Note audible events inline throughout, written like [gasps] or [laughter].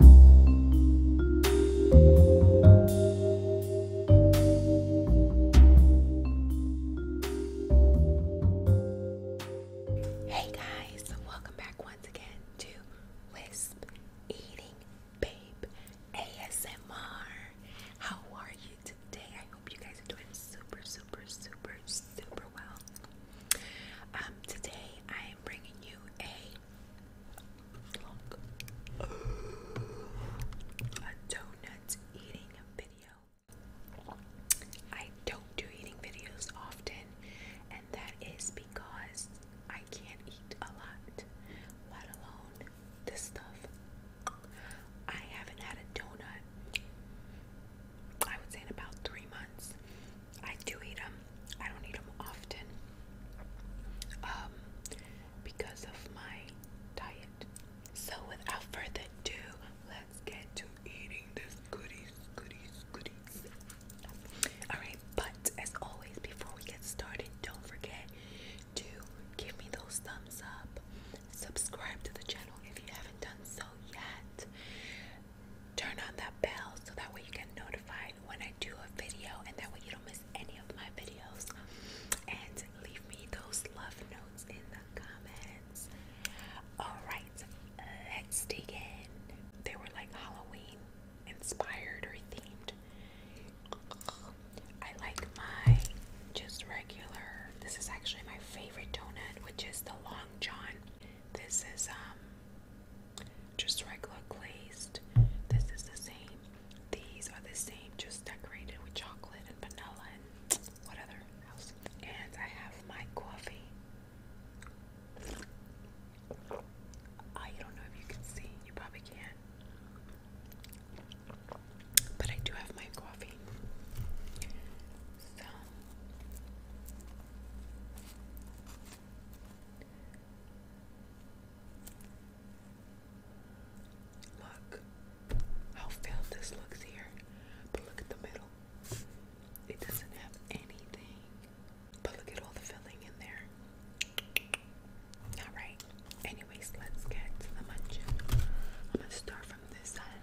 Hey guys, welcome back once again to Wisp Eating Babe ASMR. How are you today? I hope you guys are doing super, super, super, super well. Um, today I am bringing you a a donut eating video. I don't do eating videos often, and that is because I can't eat a lot, let alone this stuff. I haven't had a donut, I would say, in about three months. I do eat them. I don't eat them often um, because of my diet. So without further ado, let's get to eating this goodies, goodies, goodies. Alright, but as always, before we get started, don't forget to give me those thumbs up, subscribe to the channel if you haven't done so yet, turn on that bell so that way you get notified when I do a video and that way you don't miss any of my videos. And leave me those love notes in the comments. Alright, let's dig in. They were like Halloween inspired or themed. I like my just regular. This is actually my favorite donut, which is the Long John. This is um just regular glazed. This is the same. These are the same, just decorated with chocolate and vanilla and what other And I have my coffee. I don't know if you can see, you probably can. But I do have my coffee look how filled this looks here, but look at the middle. It doesn't have anything, but look at all the filling in there. All right. Anyways, let's get to the munching. I'm gonna start from this side.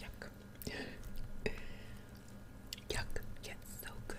Yuck. Yuck. Yet so good.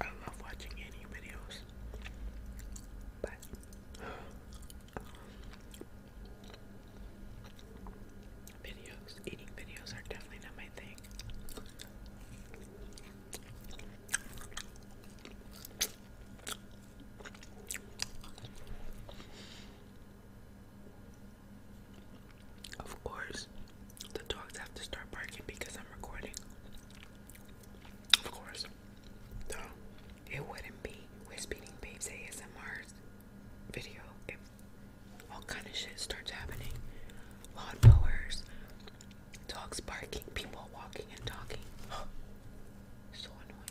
I don't love watching any videos, but videos, eating videos are definitely not my thing. Of course, the dogs have to start barking because I'm recording. Of course. So it wouldn't be Wispy Babes ASMR's video if all kind of shit starts happening. Lawnmowers, dogs barking, people walking and talking. [gasps] so annoying.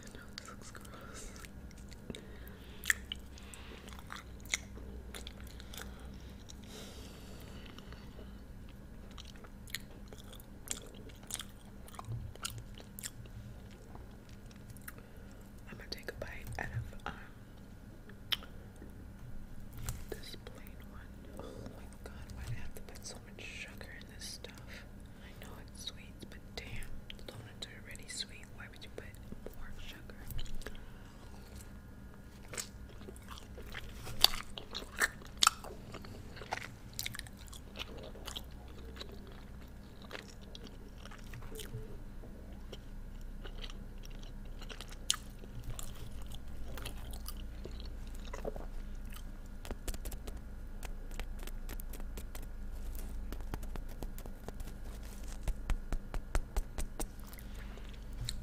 I know this looks gross. I'm gonna take a bite out of um, this plain one. Oh god, why do I have to put so much sugar in this stuff? I know it's sweet, but damn, donuts are already sweet. Why would you put more sugar?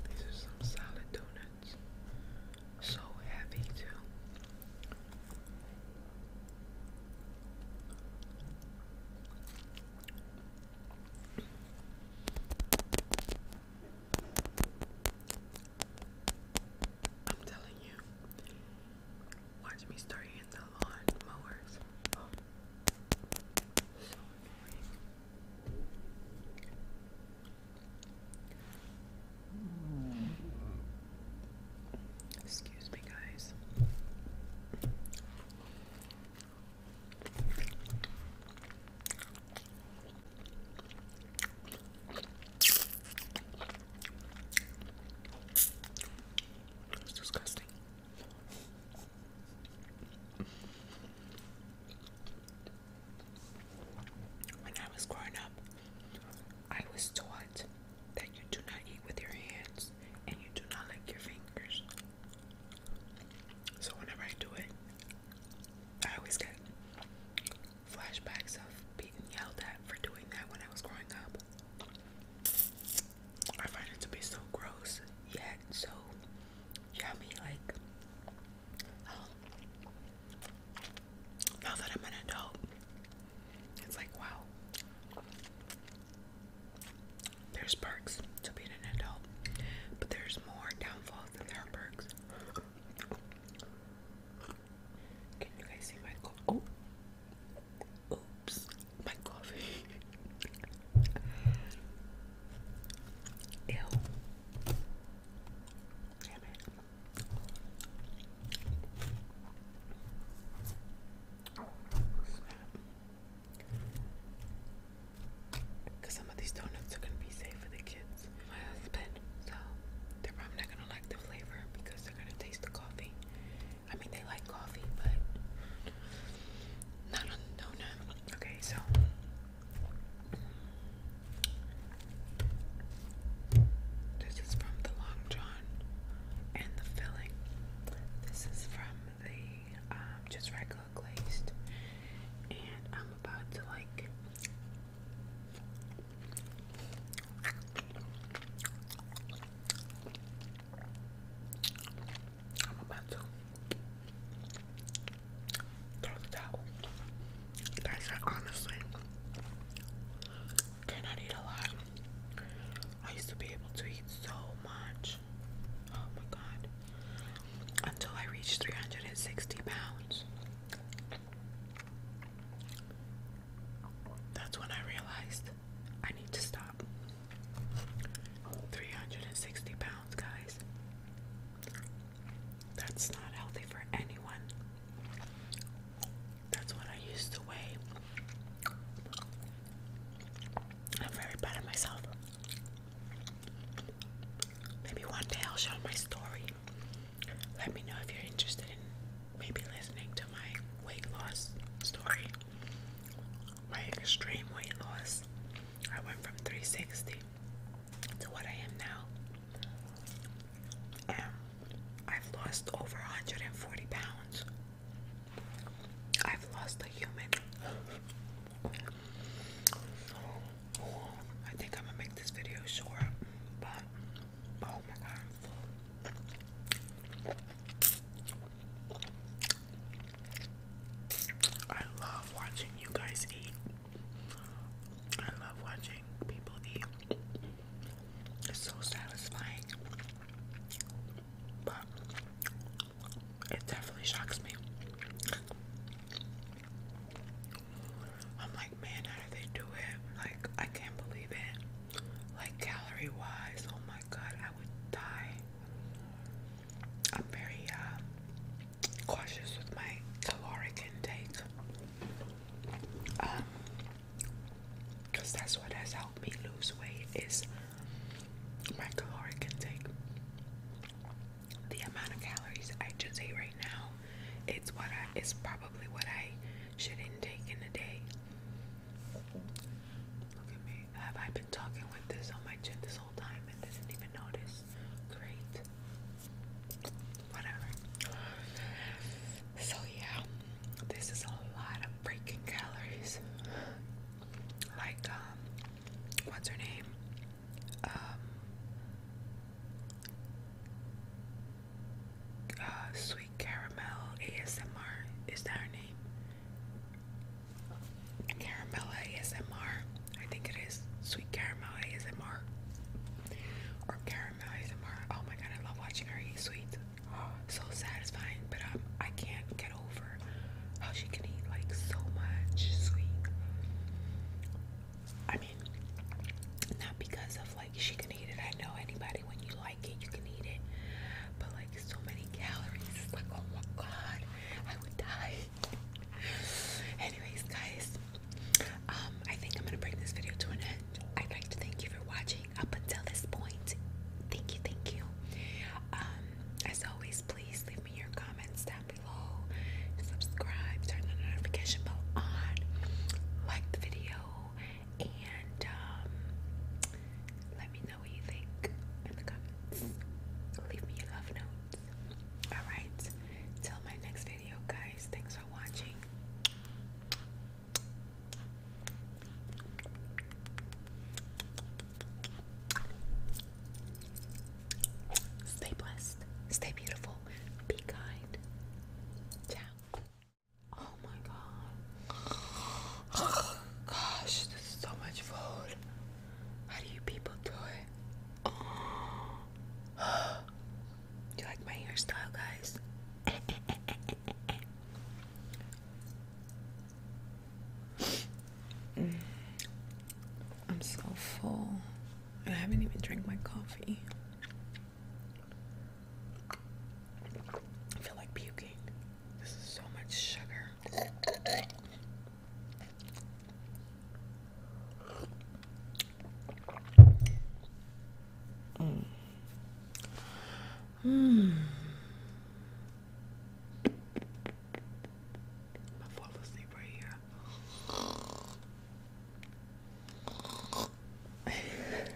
These are some solid donuts. So heavy, too. I'm telling you, watch me start in the lawn mowers. Excuse me, guys. It's disgusting. When I was growing up, I was taught that you do not eat with your hands and you do not lick your fingers. So whenever I do it, I always get flashbacks of being yelled at for doing that when I was growing up. I find it to be so gross, yet so yummy. Like, oh. now that I'm an adult, it's like, wow, there's perks to being an adult, but there's more downfalls than there are perks. Can you guys see my Oh, oops, my coffee. [laughs] Ew. Damn it. Because some of these donuts are going to be safe for the kids. My husband. So they're probably not going to like the flavor because they're going to taste the coffee. I mean, they like coffee, but not on the donut. Okay, so. This is from the Long John and the filling. This is from the um, just regular glazed, and I'm about to like. I'm about to throw the Guys, I honestly cannot eat a lot. I used to be able to eat so much. Oh my god. Until I reach 360 pounds. That's when I realized I need to stop. 360 pounds, guys. That's not healthy for anyone. That's what I used to weigh. I'm very proud of myself. Maybe one day I'll show my story. Let me know if you're interested in maybe listening to my weight loss story. My extreme weight loss. I went from 360 to what I am now. I've lost over 140 pounds I've lost a human. I think I'm gonna make this video short, but oh my god, i love watching you guys eat. I love watching people eat. It's so satisfying but it definitely shocks me. I'm like, man, how do they do it? Like, I can't believe it. Like, calorie wise, oh my god, I would die. I'm very uh, cautious with my caloric intake. Um, Cause that's what has helped me lose weight is my caloric intake. The amount of calories I just ate right now, it's what I it's probably what I should intake in a day. Look at me. Have I been talking with this on my chin this whole time and didn't even notice? Great. Whatever. So yeah. This is a lot of freaking calories. Like, um, what's her name? Um, uh, Sweet Caramel ASMR. Is that her name? Caramel ASMR. I think it is. Sweet Caramel ASMR. Or Caramel ASMR. Oh my god, I love watching her eat sweets. Oh, [gasps] so satisfying, but um, I can't get over how she can eat like so much sweet. I mean, not because of like she can eat it. I know anybody when you like it, you can eat it. But like so many calories, like oh my god, I would die. [laughs] Anyways, guys, um, I think I'm gonna bring this video to an end. I'd like to thank you for watching up until this point. Thank you, thank you. Um, as always, please leave me your comments down below. Subscribe, turn the notification bell on, like the video, and um, let me know what you think in the comments. Leave me your love notes. Alright, till my next video, guys. Thanks for watching. Stay blessed, stay beautiful, be kind. Ciao. Oh my god. gosh, there's so much food. How do you people do it? [gasps] Do you like my hairstyle, guys? [laughs] Mm. I'm so full. I haven't even drank my coffee. I feel like puking. This is so much sugar. Mm. Mm. I asleep right here.